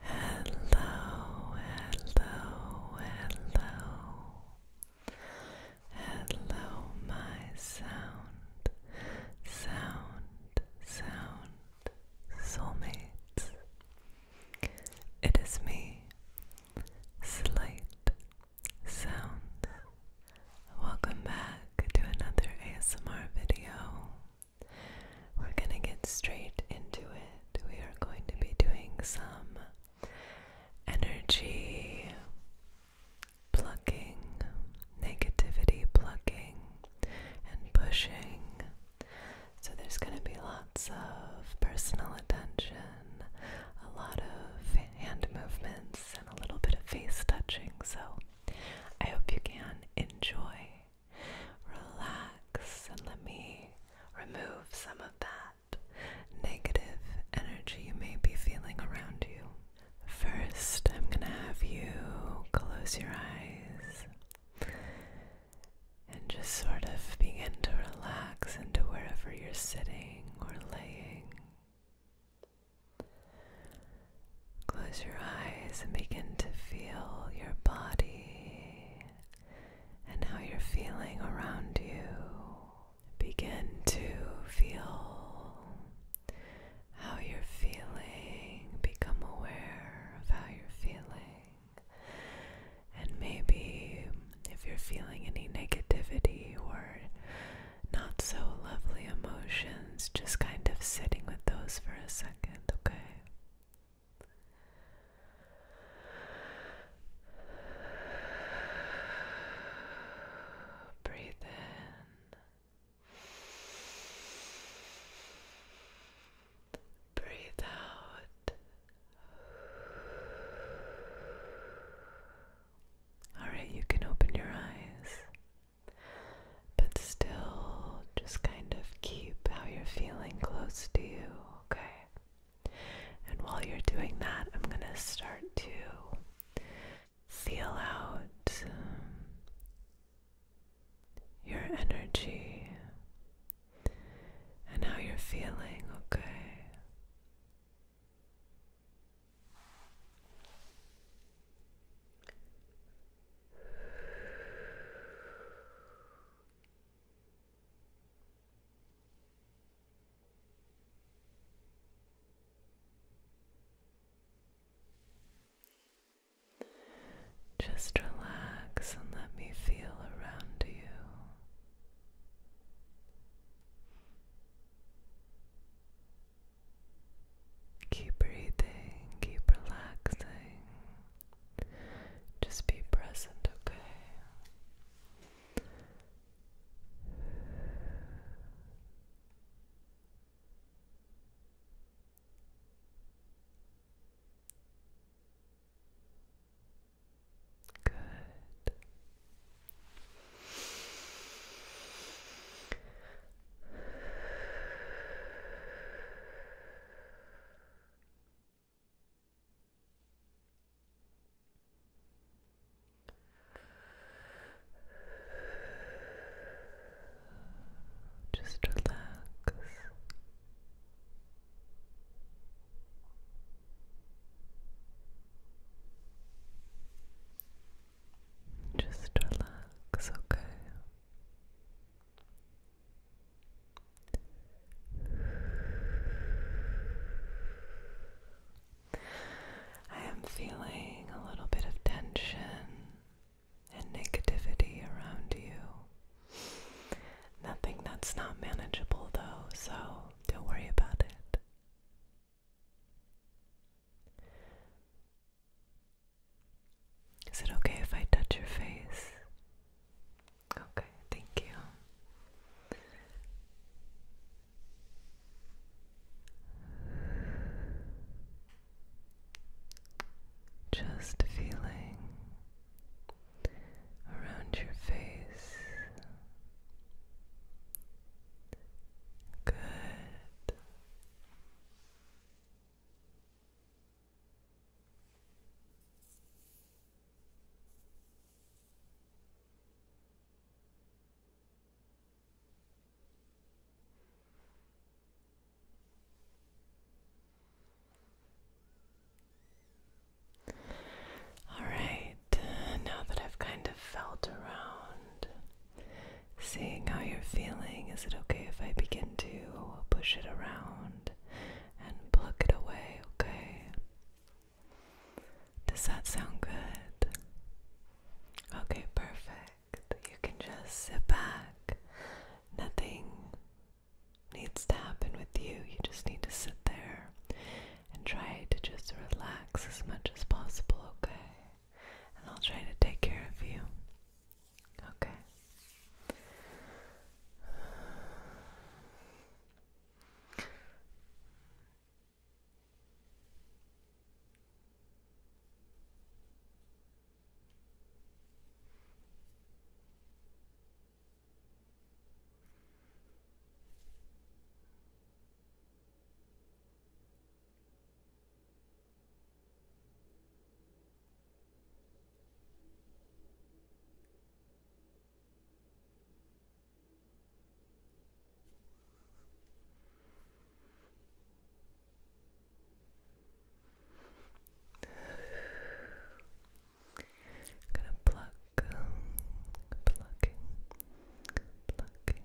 Hello, hello, hello. Hello, my sound, sound, sound, soulmates. It is me, Slight Sound. Welcome back to another ASMR video. We're going to get straight into it. We are going to be doing some energy plucking, negativity plucking, and pushing. So there's going to be lots of personal attention, a lot of hand movements, and a little bit of face touching. So I hope you can enjoy. Relax and let me remove some of that negative energy you may be feeling around you. First, I'm going to have you close your eyes and just sort of begin to relax into wherever you're sitting or laying. Close your eyes and begin to feel your body and how you're feeling around you. Begin to feel how you're feeling, become aware of how you're feeling. And maybe if you're feeling any negativity or not so lovely emotions, just kind of sitting with those for a second, okay? Breathe in. Breathe out. All right, you can open your eyes. But still, just kind of keep how you're feeling close to you, okay? And while you're doing that, I'm gonna start to feel out um, your energy and how you're feeling, okay? Just relax and let me feel around you. Keep breathing, keep relaxing. Just be present, okay? Good. Just relax. Just relax, okay. I am feeling a little bit of tension and negativity around you. Nothing that's not manageable, though, so don't worry about it. Is it okay if I touch your face? Okay, thank you. Just feeling around your face. Good. All right, uh, now that I've kind of felt around Seeing how you're feeling, is it okay if I begin to push it around and pluck it away, okay? Does that sound good? Okay, perfect. You can just sit back. Nothing needs to happen with you. You just need to sit there and try to just relax as much as possible, okay? and I'll try to take care of you. Okay. I'm gonna pluck, um, plucking, plucking,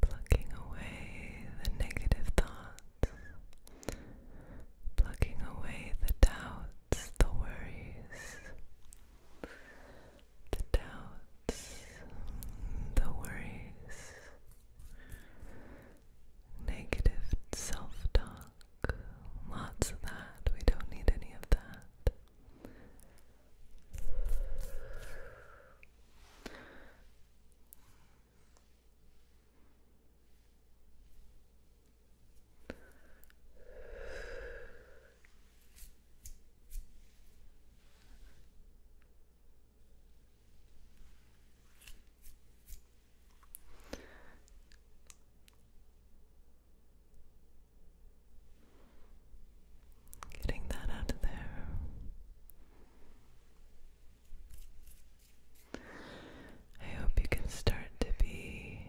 Pluck. away the negative thoughts, plucking away the doubts, the worries, the doubts, the worries, negative self talk, lots of that. We don't need any of that. Getting that out of there. I hope you can start to be,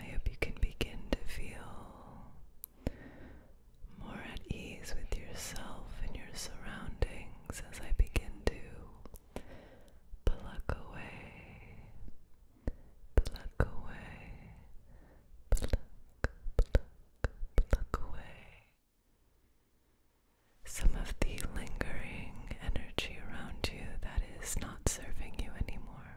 I hope you can begin to feel more at ease with yourself and your surroundings as I begin to pluck away, pluck away, pluck, pluck, pluck away some of the lingering energy around you that is not serving you anymore.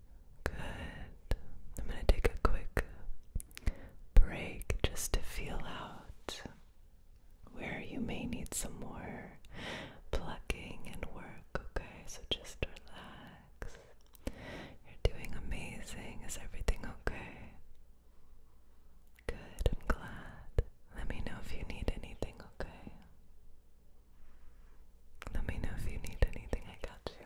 Good. I'm going to take a quick break just to feel out where you may need some more plucking and work, okay? So just relax. You're doing amazing. Is everything okay? Good, I'm glad. Let me know if you need anything, okay? Let me know if you need anything. I got you.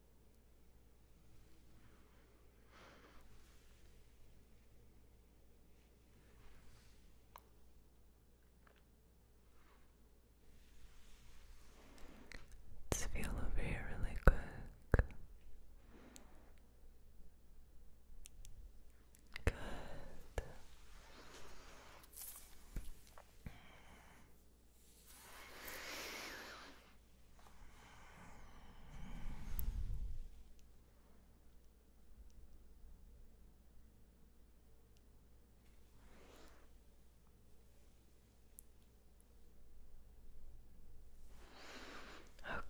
Let's feel over here really quick. Good.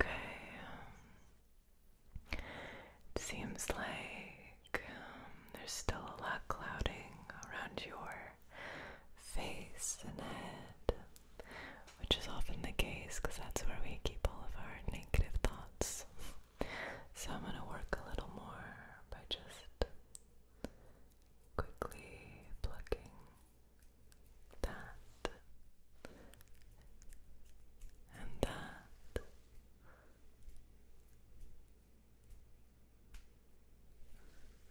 Okay. seems like um, there's still a lot clouding around your face and head which is often the case because that's where we keep all of our negative thoughts. So I'm going to work a little more by just quickly plucking that and that. Good.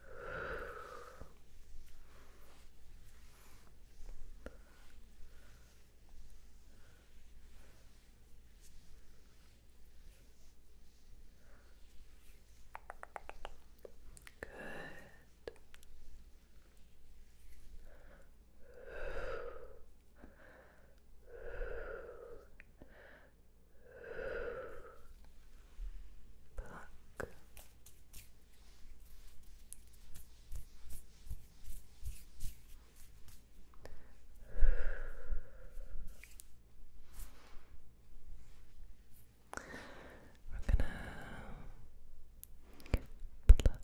Pluck. We're gonna pluck, pluck, pluck.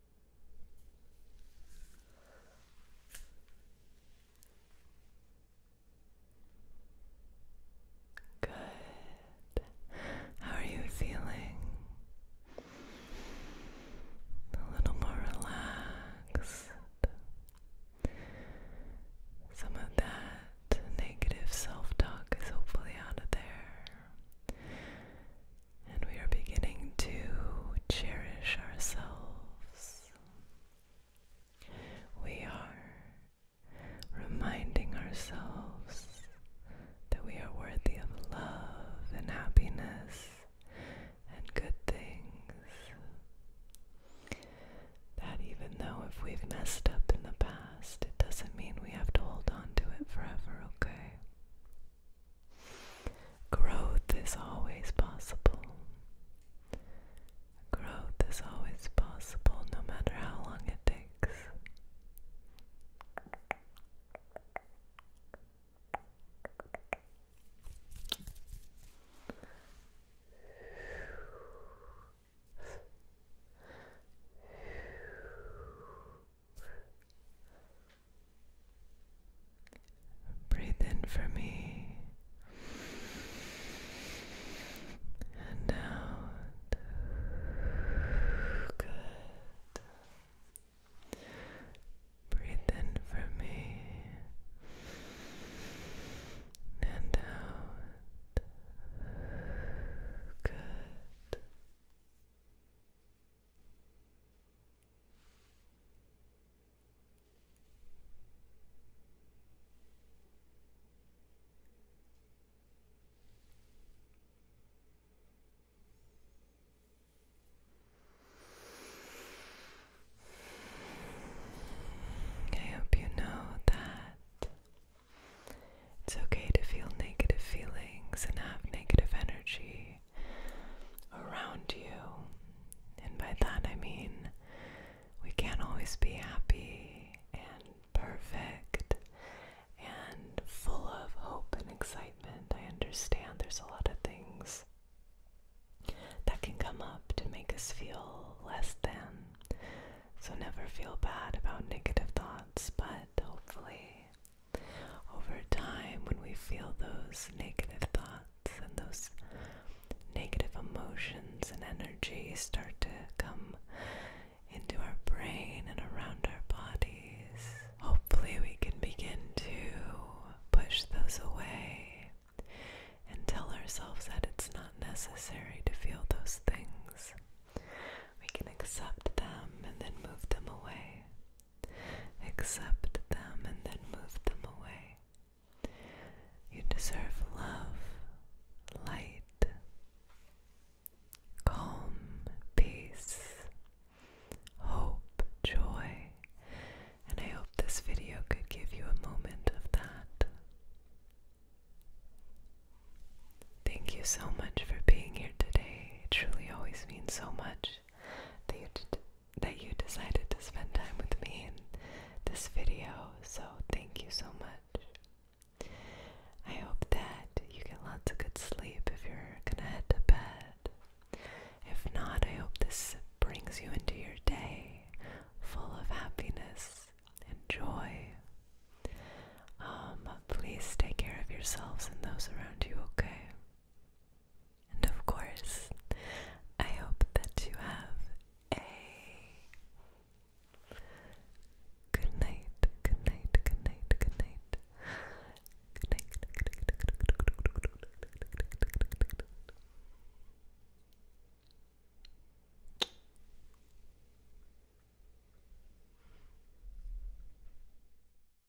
Good. How are you feeling? A little more relaxed. Some of that negative self talk is hopefully out of there. And we are beginning to cherish ourselves. We are reminding ourselves that we are worthy of love and happiness and good things. That even though if we've messed up in the past, it doesn't mean we have to hold on to it forever, okay? Growth is always possible. Growth is always possible no matter how long it takes. Breathe in for me and out. Good. Breathe in for me and out. Good. I hope you know that it's okay to feel negative feelings and have negative energy around you. And by that I mean we can't always be happy and perfect and full of hope and excitement. I understand there's a lot of things that can come up to make us feel less than. So never feel bad about negative thoughts, but hopefully over time, when we feel those negative thoughts and those negative emotions and energies start to come into our brain and around our bodies, hopefully we can begin to push those away and tell ourselves that it's not necessary to feel those things. We can accept them and then move them away. Accept them and then move them away. You deserve love, light, calm, peace, hope, joy, and I hope this video could give you a moment of that. Thank you so much for being here today. It truly always means so much that you that you decided to spend time with me in this video. So thank you so much. I hope that you get lots of good sleep if you're gonna head to bed. If not, I hope this brings you into your day full of happiness and joy. Um, please take care of yourselves and those around you, okay? And of course, I hope that you have a good night, good night, good night, good night. Good night, good night, good night,